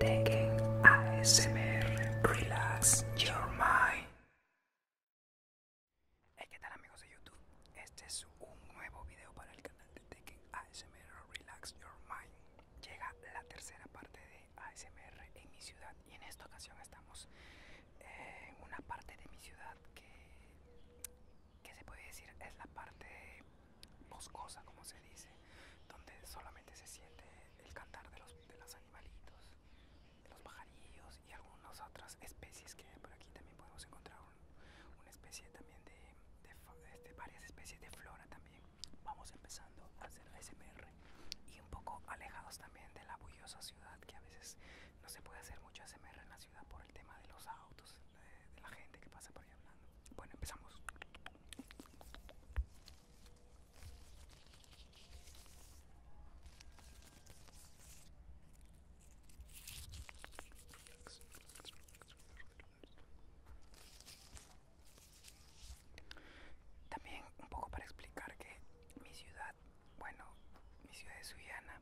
Tekken ASMR Relax Your Mind. Hey, ¿qué tal amigos de YouTube? Este es un nuevo video para el canal de Tekken ASMR Relax Your Mind. Llega la tercera parte de ASMR en mi ciudad y en esta ocasión estamos eh, en una parte de mi ciudad que, que se puede decir es la parte boscosa, como se dice, donde solamente se siente el cantar de los, animalitos, de los pajarillos y algunas otras especies que por aquí también podemos encontrar una especie también de, este, varias especies de flora también. Vamos empezando a hacer ASMR y un poco alejados también de la bullosa ciudad que a veces no se puede hacer mucho ASMR en la ciudad por el tema de los autos de, la gente que pasa por ahí hablando. Bueno, empezamos. También un poco para explicar que mi ciudad, bueno, mi ciudad de Suyana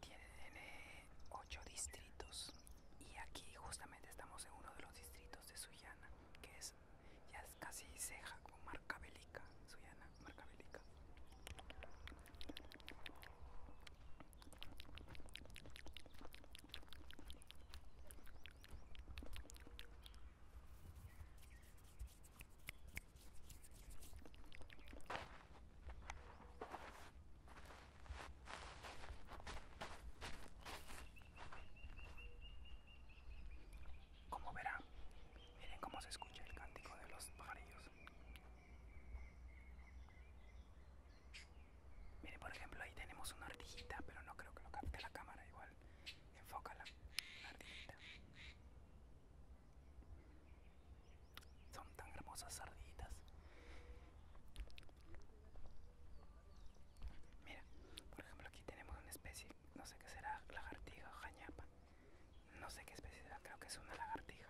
tiene ocho distritos y aquí justamente estamos en uno de los distritos de Sullana, que es ya casi ceja con marca bélica, marca bélica. Como verá. miren cómo se escucha el cántico de los pajarillos. Miren, por ejemplo, ahí tenemos una ardillita, pero no creo que lo capte la cámara igual. Enfócala, ardillita tan, hermosas sarditas. Mira, por ejemplo, aquí tenemos una especie, no sé qué será, lagartija o jañapa. No sé qué especie será, creo que es una lagartija.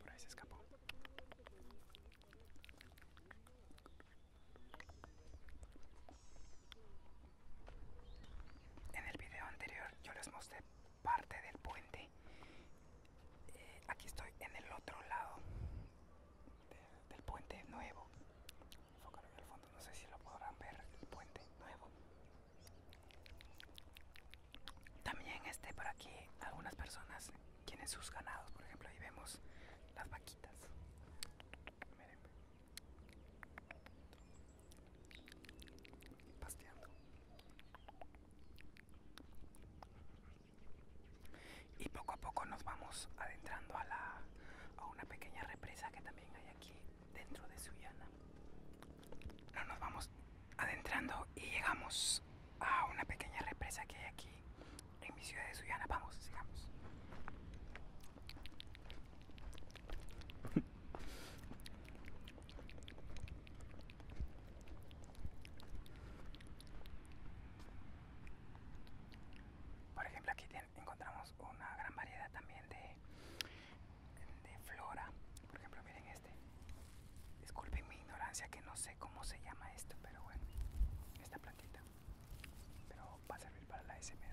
Por ahí se escapó. En el video anterior yo les mostré parte del puente eh, aquí estoy en el otro lado del puente nuevo no sé si lo podrán ver el puente nuevo también este por aquí algunas personas tienen sus ganados por ejemplo ahí vemos las vaquitas y poco a poco nos vamos adentrando a, la, a una pequeña represa que también hay aquí dentro de Suyana. nos vamos adentrando y llegamos a una pequeña represa que hay aquí en mi ciudad de Suyana. Vamos, sigamos. Por ejemplo, aquí encontramos una gran variedad también de, de flora. Por ejemplo, miren este. Disculpen mi ignorancia que no sé cómo se llama esto, pero bueno, esta plantita. Pero va a servir para la SMR.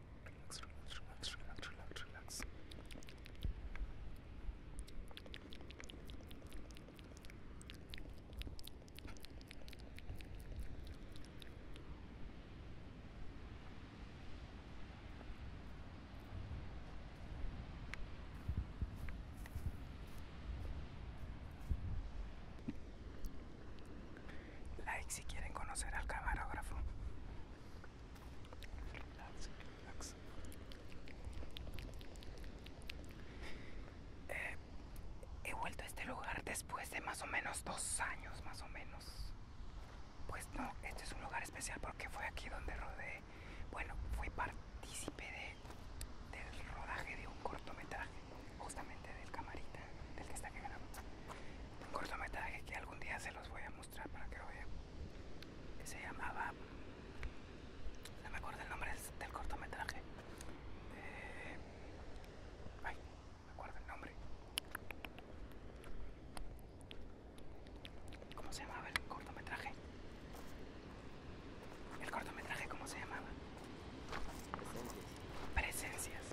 relax, relax, relax, relax, Like si quieren conocer al camarógrafo. Eh, he vuelto a este lugar después de más o menos dos años, más o menos. Pues no, este es un lugar especial porque fue aquí donde rodé. Bueno, fui partícipe de, del rodaje de un cortometraje, justamente del camarita, del que está que grabamos. Un cortometraje que algún día se los voy a mostrar para que lo vean. Que se llamaba. No me acuerdo el nombre del, cortometraje. Eh, ay, no me acuerdo el nombre. ¿Cómo se llamaba el cortometraje? ¿El cortometraje cómo se llamaba? Presencias.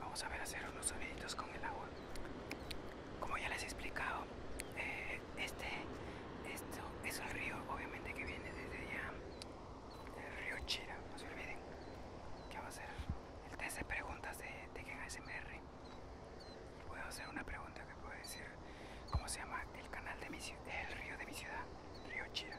Vamos a ver hacer unos soniditos con el agua. Como ya les he explicado, eh, este esto es el río, obviamente que viene desde allá, el río Chira. No se olviden que va a ser el test de preguntas de, de Gen ASMR. Puedo hacer una pregunta que puede decir cómo se llama el canal de mi el río de mi ciudad, río Chira.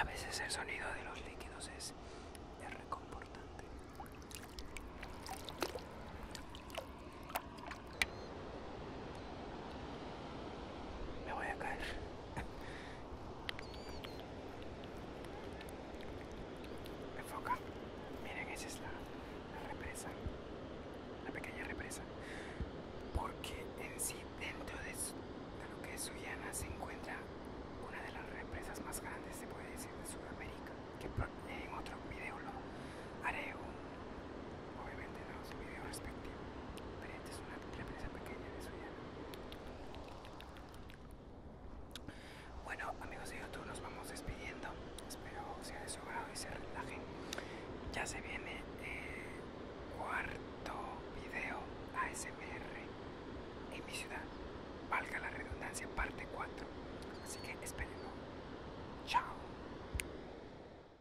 A veces el sonido de los líquidos es, reconfortante. Me voy a caer. me Enfoca. Miren, esa es la, represa. La pequeña represa. Porque en sí, dentro de, lo que es Suiana se encuentra una de las represas más grandes, se puede decir, de Sudamérica. Que en otro video lo haré obviamente no es un video respectivo, pero esta es una empresa pequeña de su Bueno amigos de YouTube nos vamos despidiendo, espero sea de su agrado y se relajen. Ya se viene el eh, cuarto video ASMR en mi ciudad, valga la redundancia, parte 4. Así que esperemos. Chao.